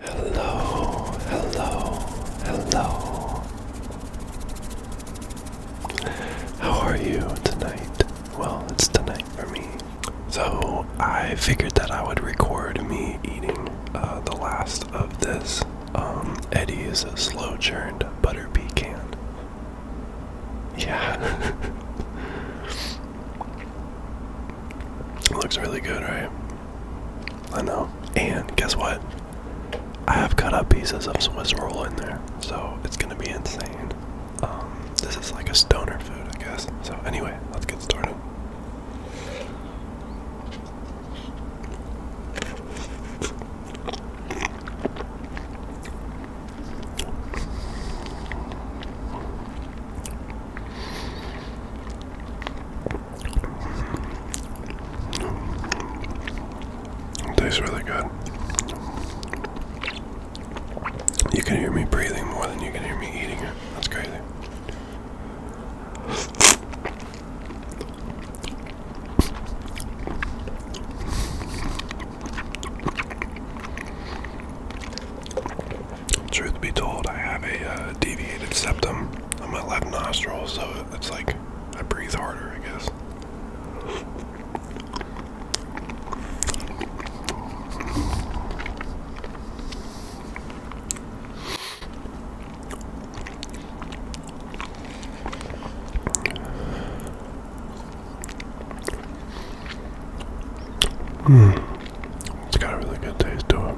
Hello, hello, hello. How are you tonight? Well, it's tonight for me. So, I figured that I would record me eating uh, the last of this um, Eddie's slow churned butter pea can. Yeah. Looks really good, right? I know. And guess what? I have cut up pieces of Swiss roll in there, so it's gonna be insane. Um, this is like a stoner food, I guess. So anyway, let's get started tastes really good. You can hear me breathing more than you can hear me eating it. That's crazy. Truth be told, I have a uh, deviated septum on my left nostril, so it's like I breathe harder, I guess. Hmm, It's got a really good taste to it.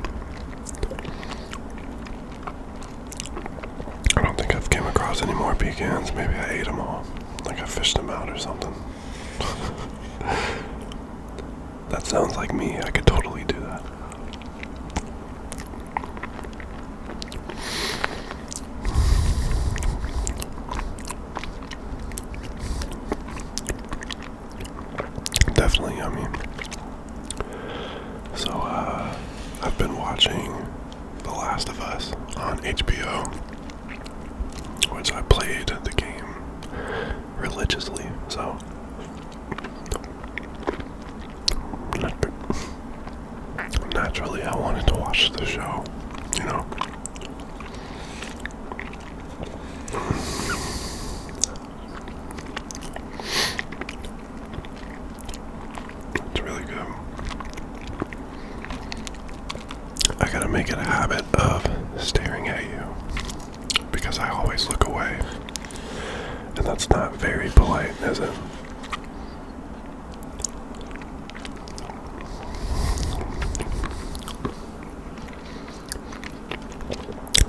I don't think I've came across any more pecans. Maybe I ate them all. Like I fished them out or something. that sounds like me. I could totally do that. Definitely yummy. So, uh, I've been watching The Last of Us on HBO, which I played the game religiously, so. Naturally, I wanted to watch the show, you know. It's really good. I gotta make it a habit of staring at you because I always look away, and that's not very polite, is it?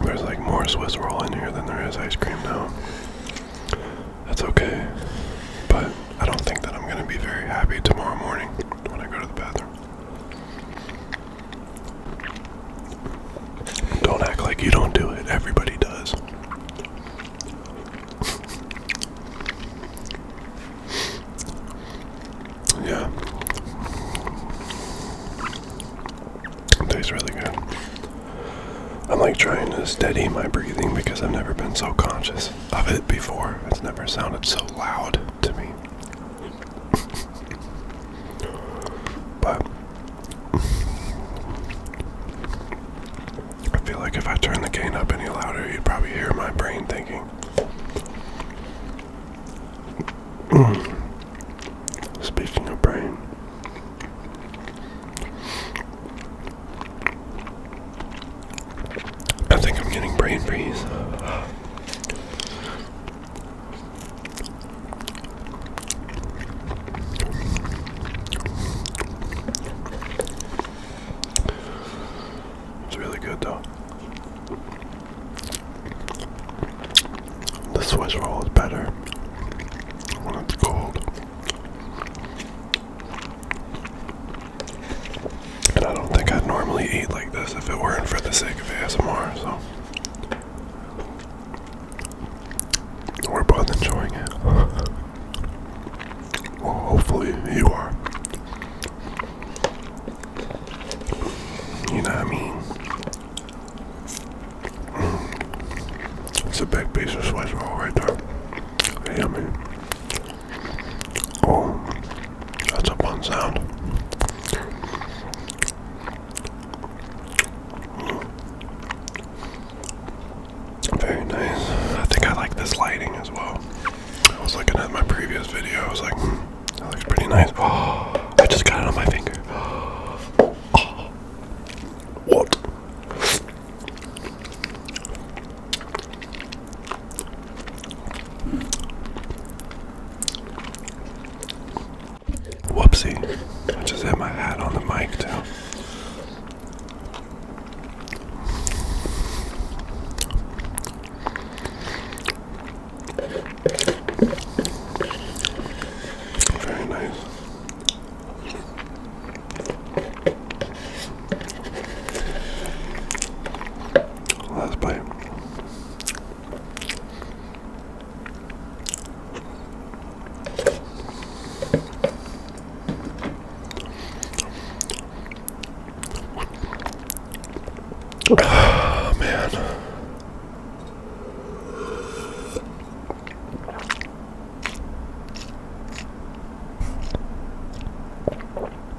There's like more Swiss roll in here than there is ice cream now. That's okay. But I don't think that I'm going to be very happy tomorrow morning when I go to the bathroom. Don't act like you don't do it. Everybody does yeah. tastes really good. I'm like trying to steady my breathing because I've never been so conscious of it before. It's never sounded so loud to me. but I feel like if I turn the gain up any louder, you'd probably hear my brain thinking. Speaking of brain, I think I'm getting brain freeze. It's really good though. The Swiss roll is better when it's cold. And I don't think I'd normally eat like this if it weren't for the sake of ASMR, so we're both enjoying it. well, hopefully you are. You know what I mean? It's a big piece of Swiss roll right there. Yummy. Oh, that's a fun sound. Very nice. I think I like this lighting as well. I was looking at my previous video. I was like, hmm, that looks pretty nice. Oh, I just got it on my finger. what? Whoopsie. I just had my hat on the mic, too. Very nice. Last bite. Oh, man.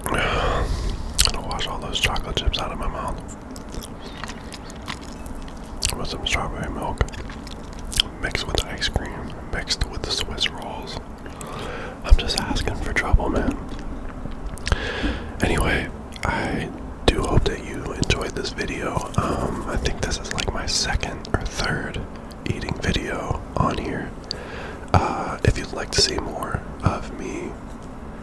I'm gonna wash all those chocolate chips out of my mouth with some strawberry milk mixed with ice cream, mixed with the Swiss rolls. I'm just asking for trouble, man. Anyway, I do hope that you enjoyed this video. Um, I think this is like my second or third eating video on here. Uh, if you'd like to see more of me